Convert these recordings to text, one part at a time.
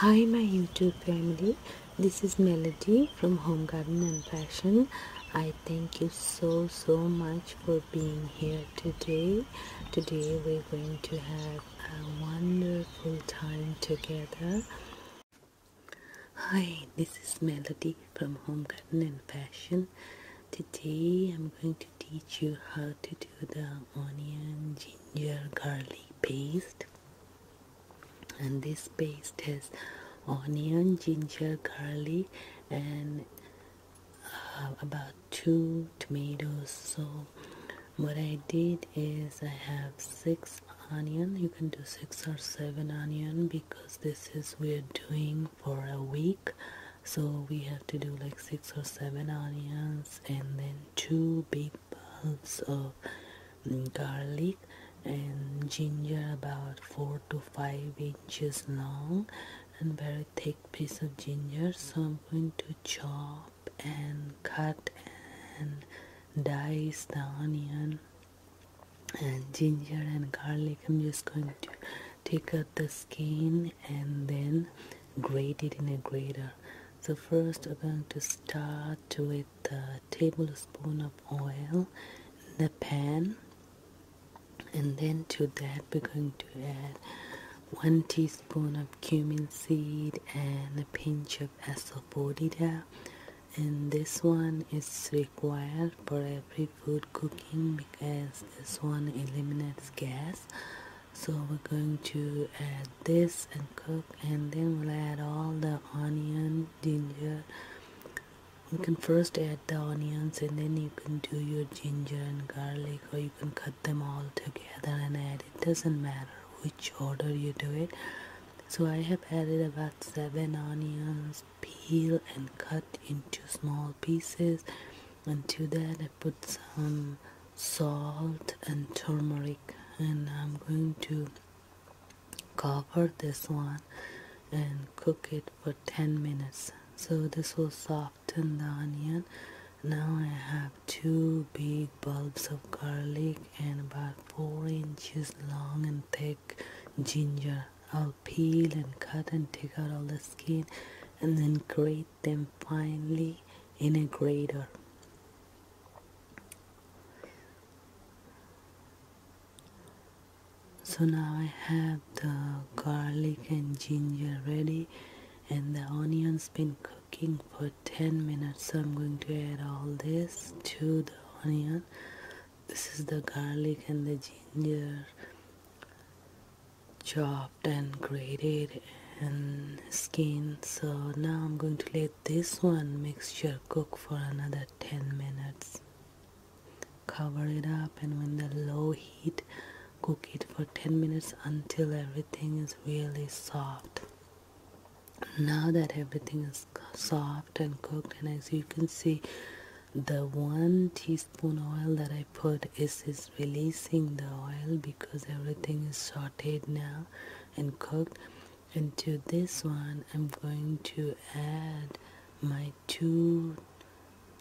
Hi my YouTube family, this is Melody from Home Garden and Fashion. I thank you so so much for being here today. Today we're going to have a wonderful time together. Hi, this is Melody from Home Garden and Fashion. Today I'm going to teach you how to do the onion ginger your garlic paste and this paste has onion ginger garlic and uh, about two tomatoes so what i did is i have six onion you can do six or seven onion because this is we're doing for a week so we have to do like six or seven onions and then two big bulbs of garlic and ginger about four to five inches long and very thick piece of ginger so i'm going to chop and cut and dice the onion and ginger and garlic i'm just going to take out the skin and then grate it in a grater so first we're going to start with a tablespoon of oil in the pan and then to that we're going to add one teaspoon of cumin seed and a pinch of asafoetida and this one is required for every food cooking because this one eliminates gas so we're going to add this and cook and then we'll add all the onion ginger you can first add the onions and then you can do your ginger and garlic or you can cut them all together and add it doesn't matter which order you do it so I have added about seven onions peel and cut into small pieces and to that put some salt and turmeric and I'm going to cover this one and cook it for 10 minutes so this will soften the onion now I have two big bulbs of garlic and about 4 inches long and thick ginger I'll peel and cut and take out all the skin and then grate then finally, in a grater. So now I have the garlic and ginger ready and the onions been cooking for 10 minutes so I'm going to add all this to the onion this is the garlic and the ginger chopped and grated and skinned so now I'm going to let this one mixture cook for another 10 minutes cover it up and when the low heat cook it for 10 minutes until everything is really soft now that everything is soft and cooked and as you can see the one teaspoon oil that I put is is releasing the oil because everything is sauteed now and cooked and to this one I'm going to add my two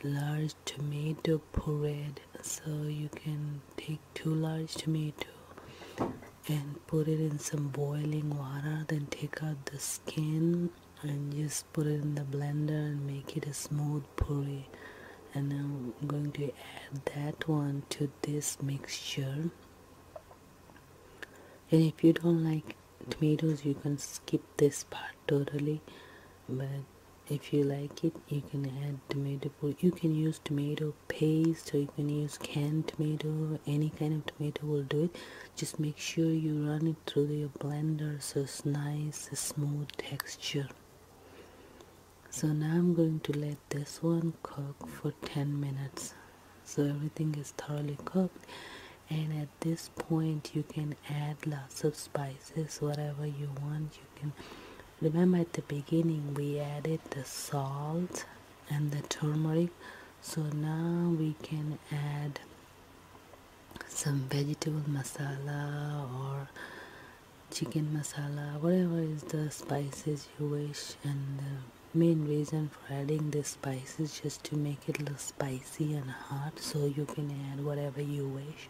large tomato pureed so you can take two large tomato and put it in some boiling water then take out the skin and just put it in the blender and make it a smooth puree and I'm going to add that one to this mixture and if you don't like tomatoes you can skip this part totally but if you like it you can add tomato you can use tomato paste or you can use canned tomato any kind of tomato will do it just make sure you run it through your blender so it's nice smooth texture so now I'm going to let this one cook for 10 minutes so everything is thoroughly cooked and at this point you can add lots of spices whatever you want you can remember at the beginning we added the salt and the turmeric so now we can add some vegetable masala or chicken masala whatever is the spices you wish and the main reason for adding the spices just to make it look spicy and hot so you can add whatever you wish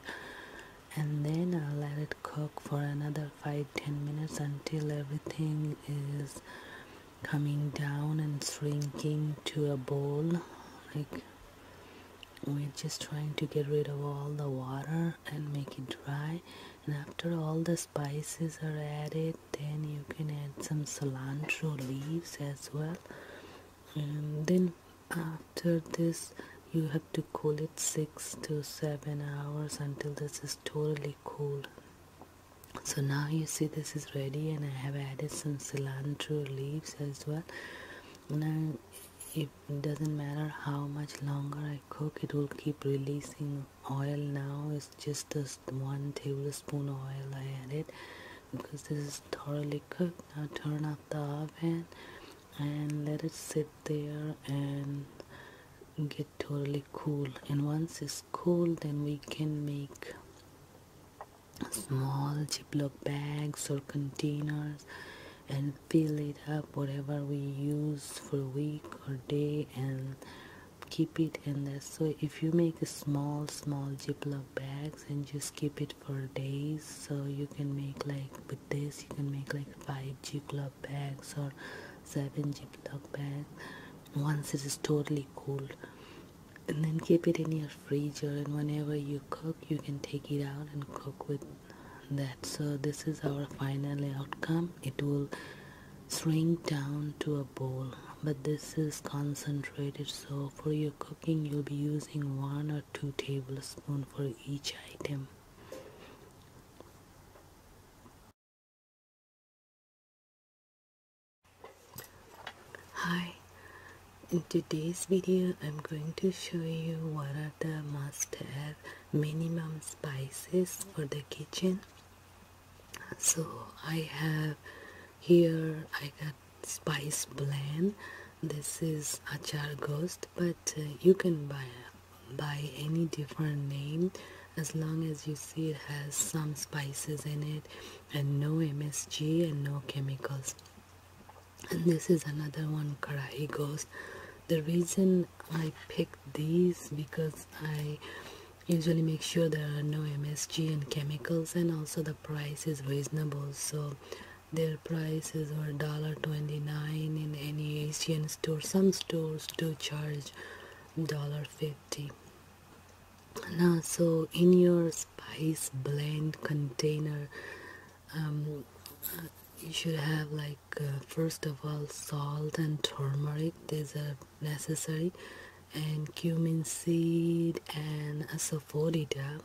and then I'll let it cook for another 5-10 minutes until everything is coming down and shrinking to a bowl like we're just trying to get rid of all the water and make it dry and after all the spices are added then you can add some cilantro leaves as well and then after this you have to cool it six to seven hours until this is totally cooled so now you see this is ready and I have added some cilantro leaves as well and it doesn't matter how much longer I cook it will keep releasing oil now it's just this one tablespoon oil I added because this is thoroughly cooked now turn off the oven and let it sit there and get totally cool and once it's cool then we can make small ziploc bags or containers and fill it up whatever we use for a week or day and keep it in there so if you make small small ziploc bags and just keep it for days so you can make like with this you can make like five ziploc bags or seven ziploc bags once it is totally cool and then keep it in your freezer and whenever you cook you can take it out and cook with that so this is our final outcome it will shrink down to a bowl but this is concentrated so for your cooking you'll be using one or two tablespoons for each item Hi, in today's video I'm going to show you what are the must-have minimum spices for the kitchen. So I have here I got spice blend. This is achar ghost but uh, you can buy by any different name as long as you see it has some spices in it and no MSG and no chemicals. And this is another one, Karahi Ghost. The reason I pick these because I usually make sure there are no MSG and chemicals and also the price is reasonable. So their prices were twenty-nine in any Asian store. Some stores do charge $1.50 now so in your spice blend container um, uh, you should have like uh, first of all salt and turmeric these are necessary and cumin seed and asafoetida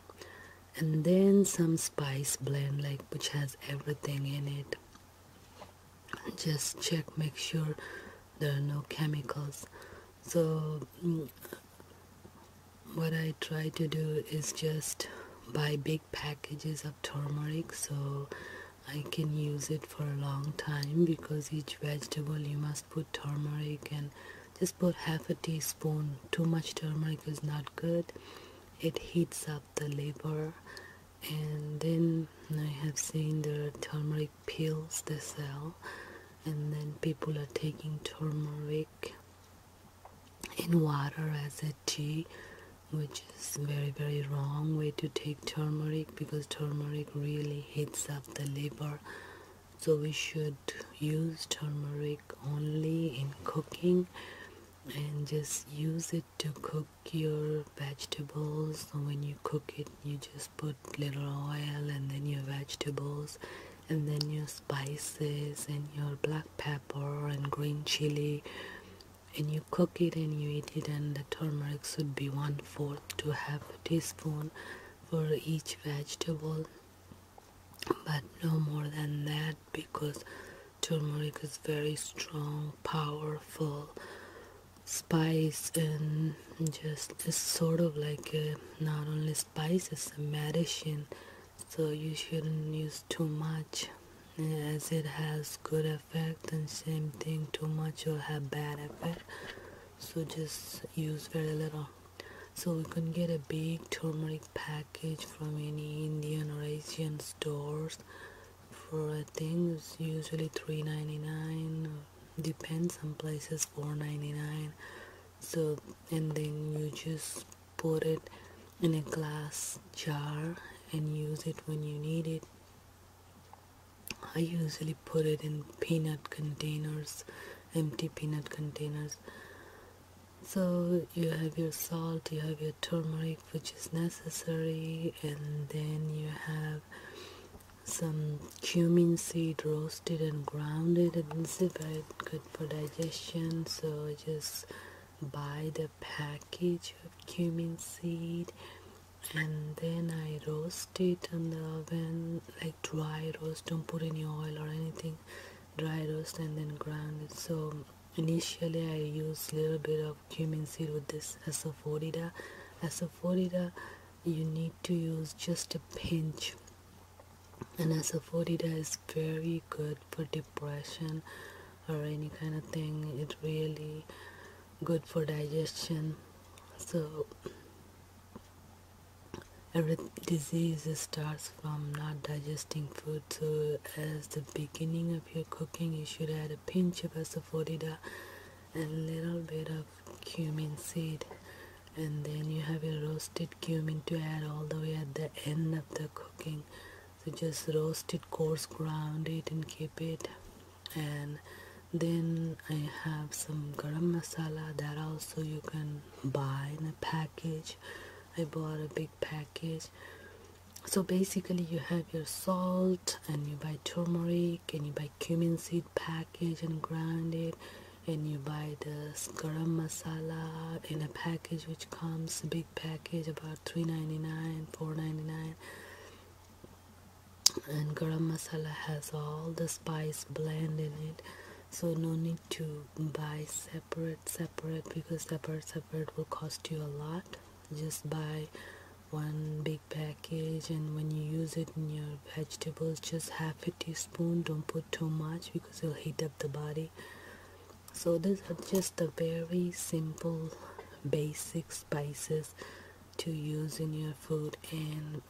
and then some spice blend like which has everything in it just check make sure there are no chemicals so mm, what I try to do is just buy big packages of turmeric so I can use it for a long time because each vegetable you must put turmeric and just put half a teaspoon too much turmeric is not good it heats up the liver and then I have seen the turmeric pills they sell and then people are taking turmeric in water as a tea which is very very wrong way to take turmeric because turmeric really heats up the liver so we should use turmeric only in cooking and just use it to cook your vegetables and when you cook it you just put little oil and then your vegetables and then your spices and your black pepper and green chili and you cook it and you eat it and the turmeric should be one fourth to half teaspoon for each vegetable but no more than that because turmeric is very strong powerful spice and just it's sort of like not only spice it's a medicine so you shouldn't use too much as it has good effect and same thing too much will have bad effect so just use very little so you can get a big turmeric package from any Indian or Asian stores for things, usually 3.99 depends on places 4.99 so and then you just put it in a glass jar and use it when you need it I usually put it in peanut containers empty peanut containers so you have your salt you have your turmeric which is necessary and then you have some cumin seed roasted and ground it it's very good for digestion so just buy the package of cumin seed and then I roast it in the oven like dry roast don't put any oil or anything dry roast and then ground it so Initially, I used little bit of cumin seed with this As as a a Asafoetida, you need to use just a pinch. And as a asafoetida is very good for depression or any kind of thing. It really good for digestion. So every disease starts from not digesting food so as the beginning of your cooking you should add a pinch of asafoetida a little bit of cumin seed and then you have your roasted cumin to add all the way at the end of the cooking so just roast it coarse ground it and keep it and then I have some garam masala that also you can buy in a package I bought a big package so basically you have your salt and you buy turmeric and you buy cumin seed package and ground it and you buy the garam masala in a package which comes big package about 3.99 4.99 and garam masala has all the spice blend in it so no need to buy separate separate separate because separate separate will cost you a lot just buy one big package and when you use it in your vegetables just half a teaspoon don't put too much because it'll heat up the body so these are just the very simple basic spices to use in your food and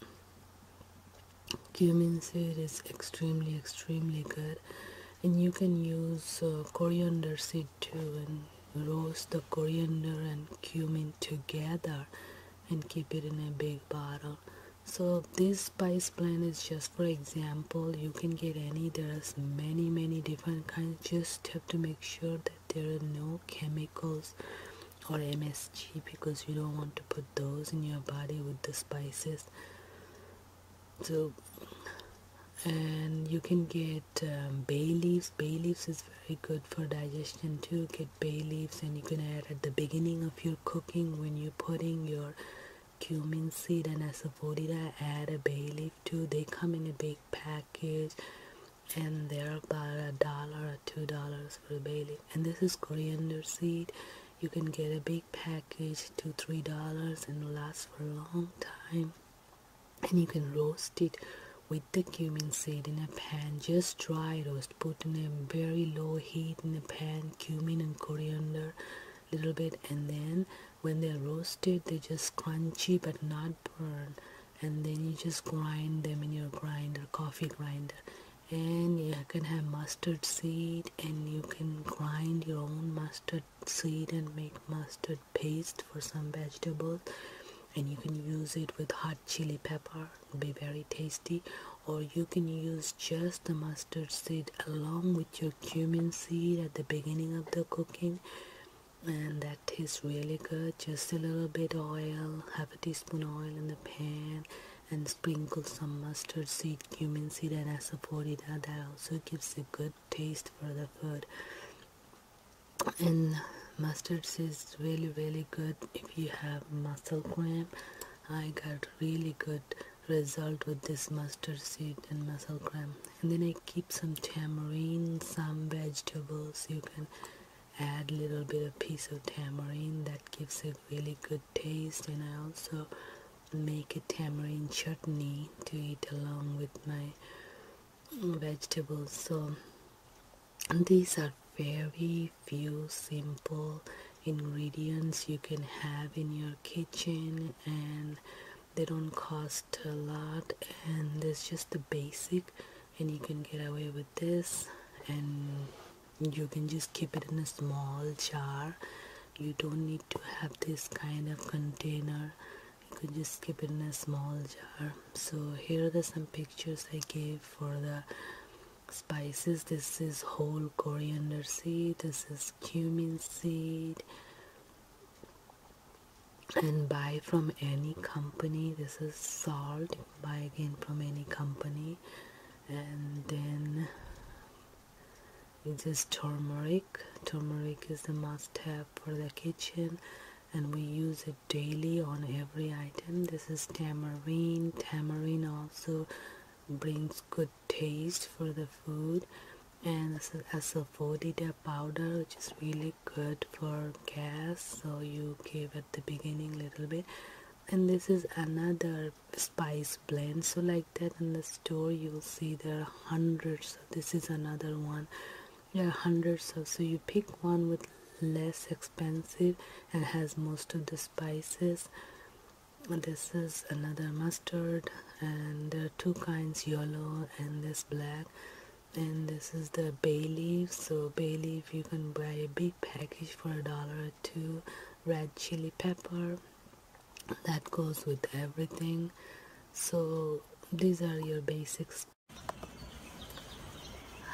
cumin seed is extremely extremely good and you can use uh, coriander seed too and roast the coriander and cumin together and keep it in a big bottle so this spice blend is just for example you can get any there's many many different kinds just have to make sure that there are no chemicals or msg because you don't want to put those in your body with the spices so and you can get um, bay leaves bay leaves is very good for digestion too get bay leaves and you can add at the beginning of your cooking when you're putting your cumin seed and asafoetida add a bay leaf too they come in a big package and they're about a dollar or two dollars for a bay leaf and this is coriander seed you can get a big package to three dollars and lasts for a long time and you can roast it with the cumin seed in a pan just dry roast put in a very low heat in a pan cumin and coriander a little bit and then when they're roasted they're just crunchy but not burned and then you just grind them in your grinder coffee grinder and you can have mustard seed and you can grind your own mustard seed and make mustard paste for some vegetables and you can use it with hot chili pepper It'll be very tasty or you can use just the mustard seed along with your cumin seed at the beginning of the cooking and that tastes really good just a little bit oil half a teaspoon oil in the pan and sprinkle some mustard seed sweet cumin seed and assafoetida that, that also gives a good taste for the food and mustard is really really good if you have muscle cramp i got really good result with this mustard seed and muscle cramp and then i keep some tamarind some vegetables you can add little bit of piece of tamarind that gives a really good taste and I also make a tamarind chutney to eat along with my vegetables so these are very few simple ingredients you can have in your kitchen and they don't cost a lot and it's just the basic and you can get away with this and you can just keep it in a small jar you don't need to have this kind of container you can just keep it in a small jar so here are some pictures i gave for the spices this is whole coriander seed this is cumin seed and buy from any company this is salt buy again from any company and then it's just turmeric. Turmeric is the must-have for the kitchen, and we use it daily on every item. This is tamarind. Tamarind also brings good taste for the food, and this is asafoetida powder, which is really good for gas. So you give at the beginning little bit, and this is another spice blend so like that in the store you will see there are hundreds this is another one there are hundreds of so you pick one with less expensive and has most of the spices this is another mustard and there are two kinds yellow and this black and this is the bay leaf so bay leaf you can buy a big package for a dollar or two red chili pepper that goes with everything so these are your basics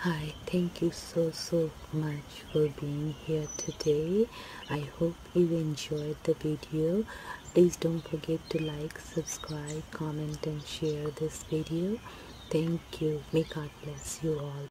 hi thank you so so much for being here today i hope you enjoyed the video please don't forget to like subscribe comment and share this video thank you may god bless you all